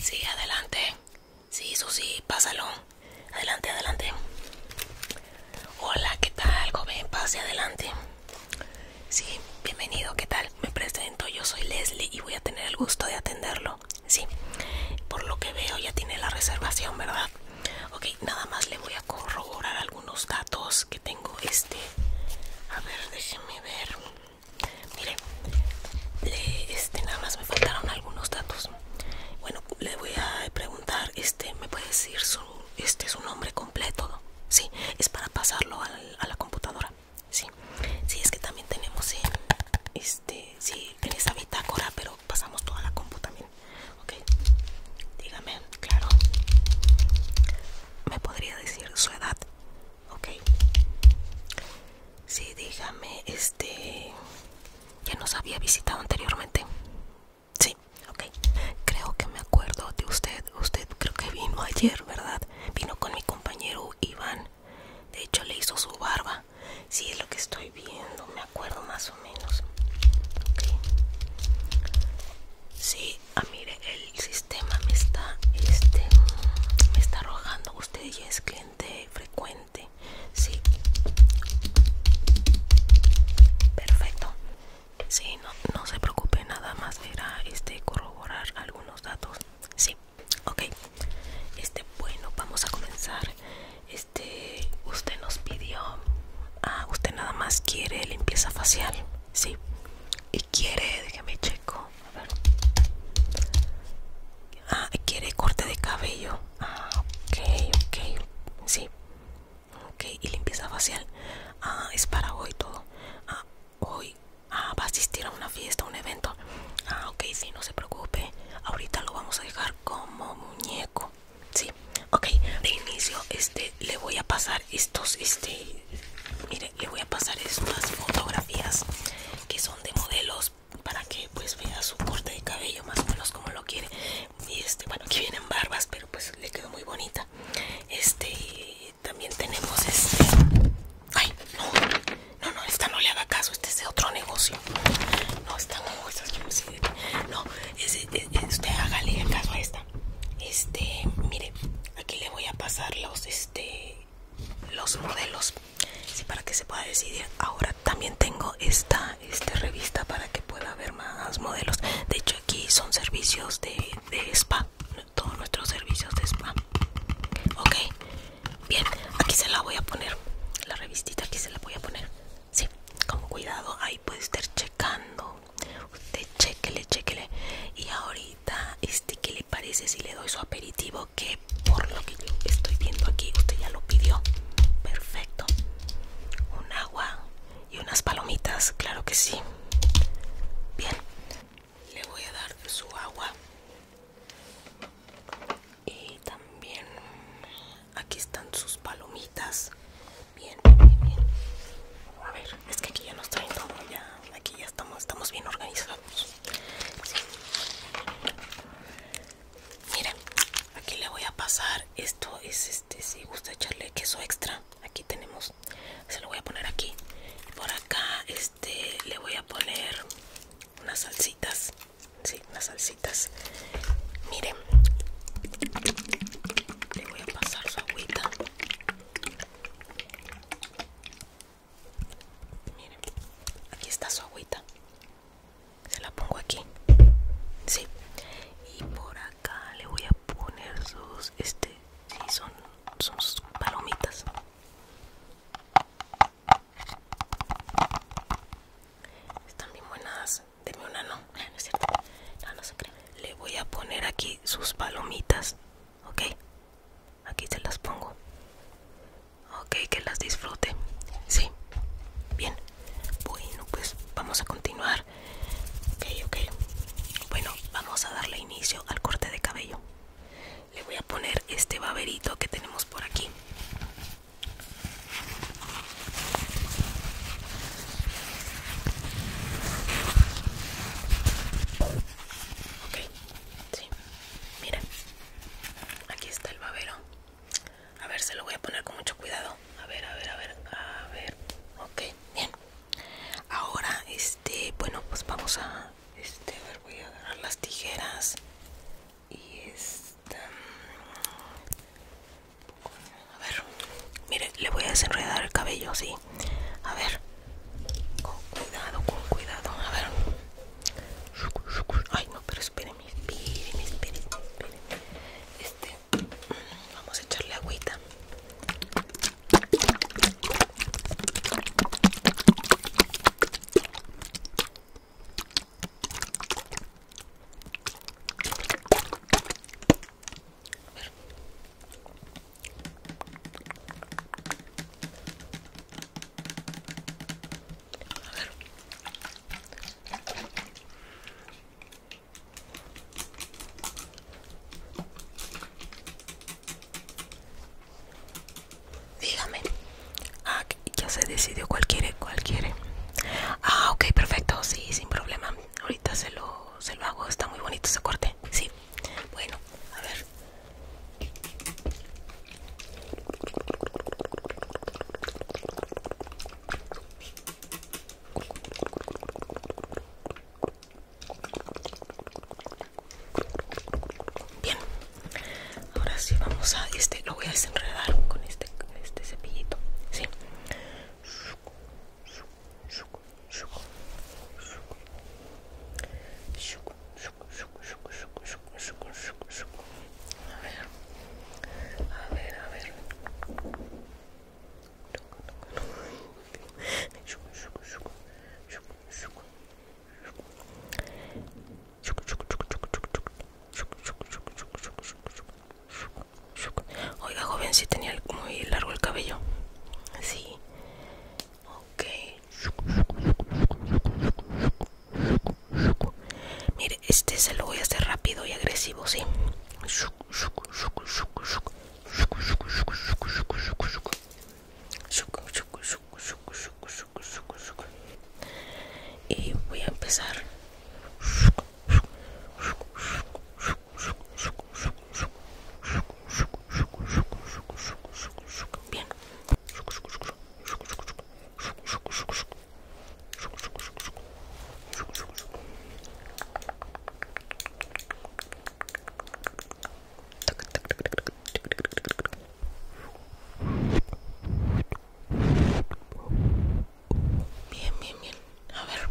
Sí, adelante. Sí, Susi, pásalo. Adelante, adelante. Hola, ¿qué tal, joven? Pase adelante. Sí, bienvenido, ¿qué tal? Me presento, yo soy Leslie y voy a tener el gusto de atenderlo. Sí, por lo que veo ya tiene la reservación, ¿verdad? Ok, nada más le voy a corroborar algunos datos que tengo este. A ver, déjenme ver. Mire, este, nada más me faltaron algunos datos. Bueno, le voy a preguntar, este, ¿me puede decir su, este, su nombre completo? Sí, es para pasarlo a la, computadora. Sí, sí, es que también tenemos en, este, sí, tiene esa bitácora, pero pasamos toda la computadora. también. dígame, claro. ¿Me podría decir su edad? ok sí dígame este ya nos había visitado anteriormente sí ok creo que me acuerdo de usted usted creo que vino ayer verdad vino con mi compañero Iván de hecho le hizo su barba si es lo que estoy viendo me acuerdo más o menos ok sí ah mire el el sistema me está este me está arrojando usted ya es cliente frecuente sí perfecto sí no, se preocupe nada más era este corroborar algunos datos sí ok este bueno vamos a comenzar este usted nos pidió ah usted nada más quiere limpieza facial sí y quiere déjeme checo a ver. Ah, quiere corte de cabello. Ah, ok, ok. Sí. Ok, y limpieza facial. Ah, es para hoy todo. Ah, hoy. Ah, va a asistir a una fiesta, un evento. Ah, ok, sí, no se preocupe. Ahorita lo vamos a dejar como muñeco. Sí, ok. De inicio, este, le voy a pasar estos, este, mire, le voy a pasar estas fotografías que son de modelos para que pues vea su corte de cabello más o menos como lo quiere y este bueno aquí vienen barbas pero pues le quedó muy bonita este también tenemos este ay no no no esta no le haga caso este es de otro negocio no esta no me no es, usted hágale caso a esta este mire aquí le voy a pasar los este los modelos para que se pueda decidir ahora también tengo esta, esta revista para que pueda haber más modelos de hecho aquí son servicios de, spa todos nuestros servicios de spa ok bien aquí se la voy a poner la revistita aquí se la voy a poner sí con cuidado ahí puede estar checando usted chequele chequele y ahora este que le parece si le doy su aperitivo que por lo que yo estoy viendo aquí usted ya lo pidió perfecto un agua y unas palomitas claro que sí bien le voy a dar su agua y también aquí están sus palomitas bien bien bien a ver es que aquí ya nos traen todo ya aquí ya estamos estamos bien organizados Miren, aquí le voy a pasar. Esto es este, si gusta echarle queso extra. Aquí tenemos, se lo voy a poner aquí. por acá, este, le voy a poner unas salsitas. Sí, unas salsitas. Miren, le voy a pasar su agüita. Miren, aquí está su agüita. Se la pongo aquí. Sí. Y por acá le voy a poner sus este sí son son sus palomitas. Están bien buenas. Deme una no. Ah, no es cierto. No, no se cree. Le voy a poner aquí sus palomitas ok aquí se las pongo ok que las disfrute sí bien bueno pues vamos a continuar ok ok bueno vamos a darle inicio al corte de cabello le voy a poner este baberito que tenemos por aquí ok Sí, miren, aquí está el babero. A ver, se lo voy a poner con mucho cuidado. A ver, a ver, a ver, a ver. Ok, bien. Ahora, este, bueno, pues vamos a, este, a ver, voy a agarrar las tijeras y esta. A ver, mire, le voy a desenredar el cabello, sí. A ver. Con cuidado, con cuidado. A ver. Ay, no, pero espérenme, espere, espérenme, espere. Este, mm, vamos a echarle agüita. A ver. Dígame. Ah, ya se decidió cuál quiere, Ah, ok, perfecto, sí, sin problema. Ahorita se lo, se lo hago, está muy bonito ese corte. Sí, bueno, a ver. Bien, ahora sí vamos a este, lo voy a desenredar con este, este cepillito, sí. A ver, a ver, a ver. Oiga, joven, si tenía muy largo el cabello. Sí, Ok. Mire, este se lo voy a hacer rápido y agresivo, ¿sí? Y voy a empezar. Bien, Bien, bien, bien. A ver.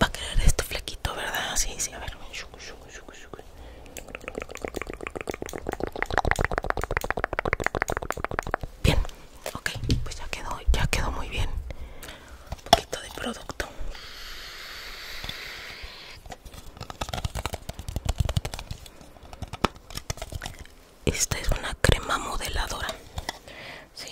Va a quedar esto flequito, ¿verdad? Sí, sí, a ver. Bien, ok, pues ya quedó, ya quedó muy bien un poquito de producto esta es una crema modeladora sí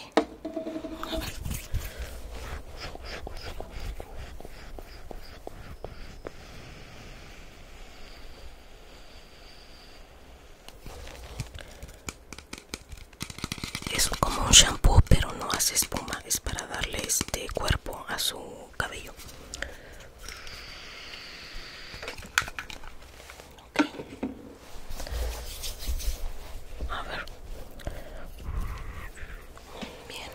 es como un shampoo pero no hace espuma es para darle este cuerpo a su cabello a ver bien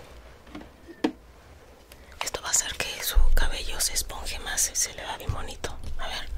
esto va a hacer que su cabello se esponje más se le va bien bonito a ver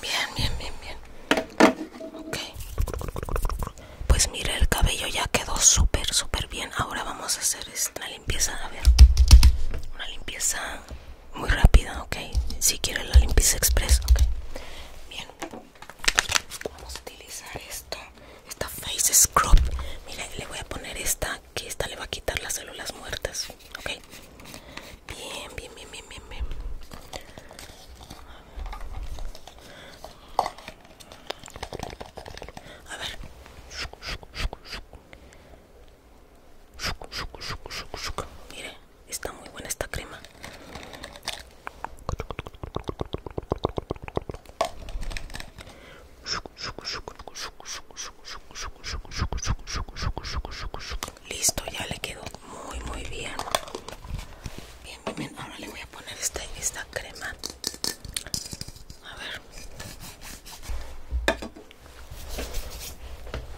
Bien, bien, bien, bien. Ok. Pues mira, el cabello ya quedó súper, súper bien. Ahora vamos a hacer este, una limpieza. A ver. Una limpieza muy rápida, ok. Si quieres la limpieza express, ok. Bien vamos a utilizar esto esta face scrub mire le voy a poner esta que esta le va a quitar las células muertas ok bien bien bien bien bien, bien. a ver Mire, está muy buena esta crema. Listo, ya le quedó muy muy bien. Bien, bien, bien. Ahora le voy a poner esta, crema. A ver.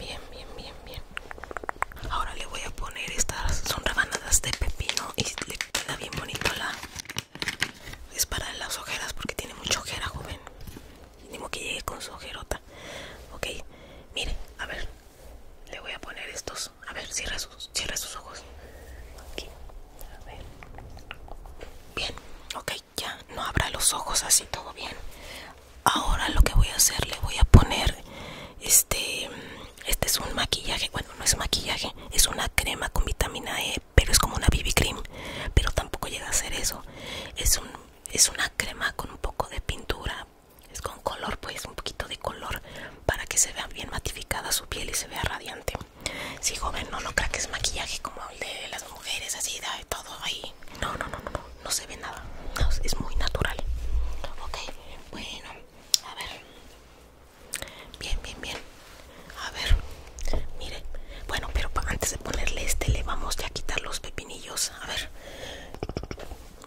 Bien, bien, bien, bien. Ahora le voy a poner estas son rebanadas de pepino y le está bien bonito la es para las ojeras porque tiene mucha ojera joven mínimo que llegue con su ojerota ok mire a ver le voy a poner estos a ver cierra sus cierra sus ojos aquí a ver bien ok ya no abra los ojos así todo bien ahora lo que voy a hacer le voy a poner este este es un maquillaje, bueno, no es maquillaje, es una crema con vitamina E, pero es como una BB cream, pero tampoco llega a ser eso. Es un es una crema con un poco de pintura, es con color, pues un poquito de color para que se vea bien matificada su piel y se vea radiante. Si joven, no lo crea que es maquillaje como el de las mujeres, así da todo ahí. No, no, no, no, no, se ve nada. es muy natural. Ok, bueno, a ver. Bien, bien, bien. A ver, mire. Bueno, pero antes de ponerle este, le vamos ya a quitar los pepinillos. A ver,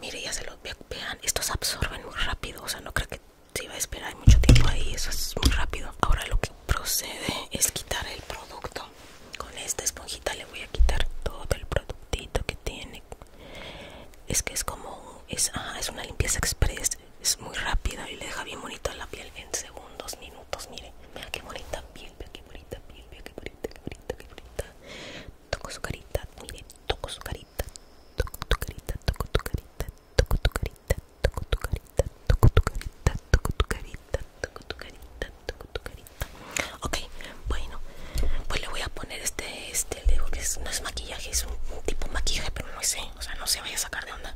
mire, ya se los vean. Estos absorben muy rápido. O sea, no creo que se iba a esperar mucho tiempo ahí. Eso es muy rápido. Ahora lo que procede es quitar el producto. Con esta esponjita le voy a quitar todo el productito que tiene es que es como es, es una limpieza express es muy rápida y le deja bien bonita la piel en segundos minutos mire mira qué bonita piel mira qué bonita piel mira qué bonita qué bonita qué bonita toco su carita mire toco su carita toco tu carita toco tu carita toco tu carita toco tu carita toco tu carita toco tu carita toco tu carita toco tu carita ok bueno pues le voy a poner este este, le digo que no es maquillaje, es un, tipo de maquillaje, pero no sé, o sea, no se vaya a sacar de onda.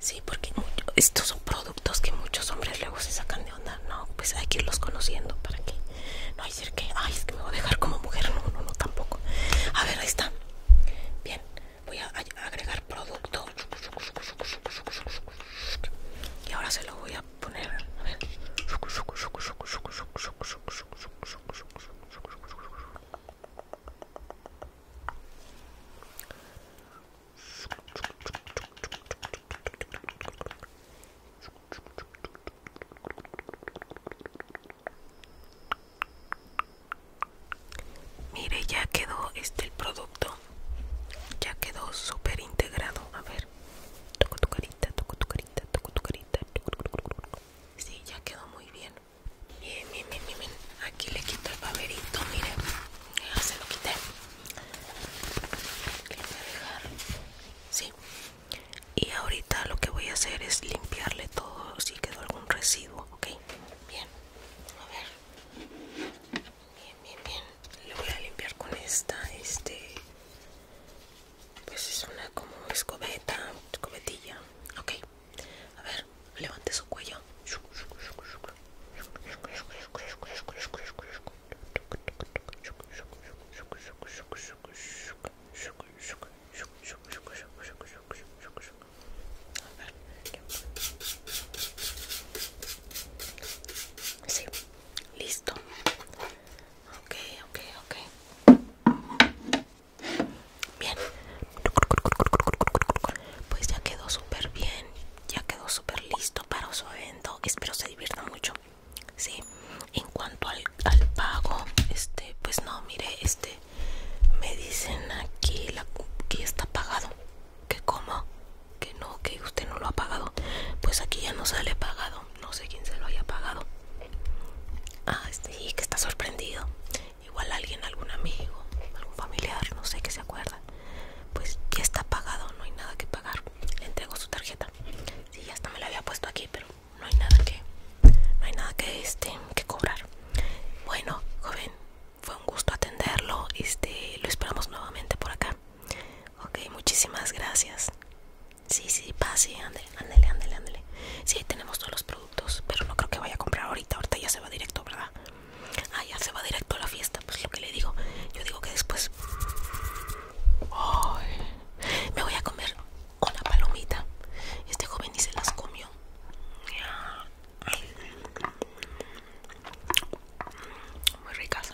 Sí, porque estos son productos que muchos hombres luego se sacan de onda, no, pues hay que irlos conociendo para que no hay decir que, ay, es que me voy a dejar como mujer, no, no, no, tampoco. A ver, ahí está. Bien, voy a, agregar producto. Y ahora se lo voy a poner. A ver. Mire, ya quedó este el producto. Ya quedó súper integrado. A ver, toco tu carita, toco tu carita, toco tu carita. Sí, ya quedó muy bien. Bien, bien, bien, bien. Aquí le quito el paperito, miren. Ya se lo quité. Le voy a dejar. Sí. Y ahorita lo que voy a hacer es limpiarle todo si quedó algún residuo, ¿ok? Bien. A ver. Bien, bien, bien. Le voy a limpiar con esta, este... Pues es una como escobeta, escobetilla, ok. A ver, levante su cuello. listo. Ok, ok, ok. Bien, pues ya quedó súper bien, ya quedó súper listo para su evento. Espero se divierta mucho. Sí, en cuanto al, pago, este, pues no, mire, este, me dicen aquí la, que está pagado. Que como, que no, que usted no lo ha pagado. Pues aquí ya no sale pagado. No sé quién se lo haya pagado. Ah, sí, este, que está sorprendido igual alguien, algún amigo, algún familiar, no sé ¿qué se acuerda, pues ya está pagado, no hay nada que pagar. Le entrego su tarjeta. Sí, ya hasta me la había puesto aquí, pero no hay nada que, no hay nada que este, que cobrar. Bueno, joven, fue un gusto atenderlo, este, lo esperamos nuevamente por acá. Ok, muchísimas gracias. Sí, sí, pase, ande ándele, ándele, ándele. Sí, ahí tenemos todos los productos, pero no creo que vaya a comprar ahorita. Ahorita ya se va directo, ¿verdad? Ah, ya se va directo a la fiesta. Pues lo que le digo, yo digo que después me voy a comer una palomita. Este joven ni se las comió. Muy ricas.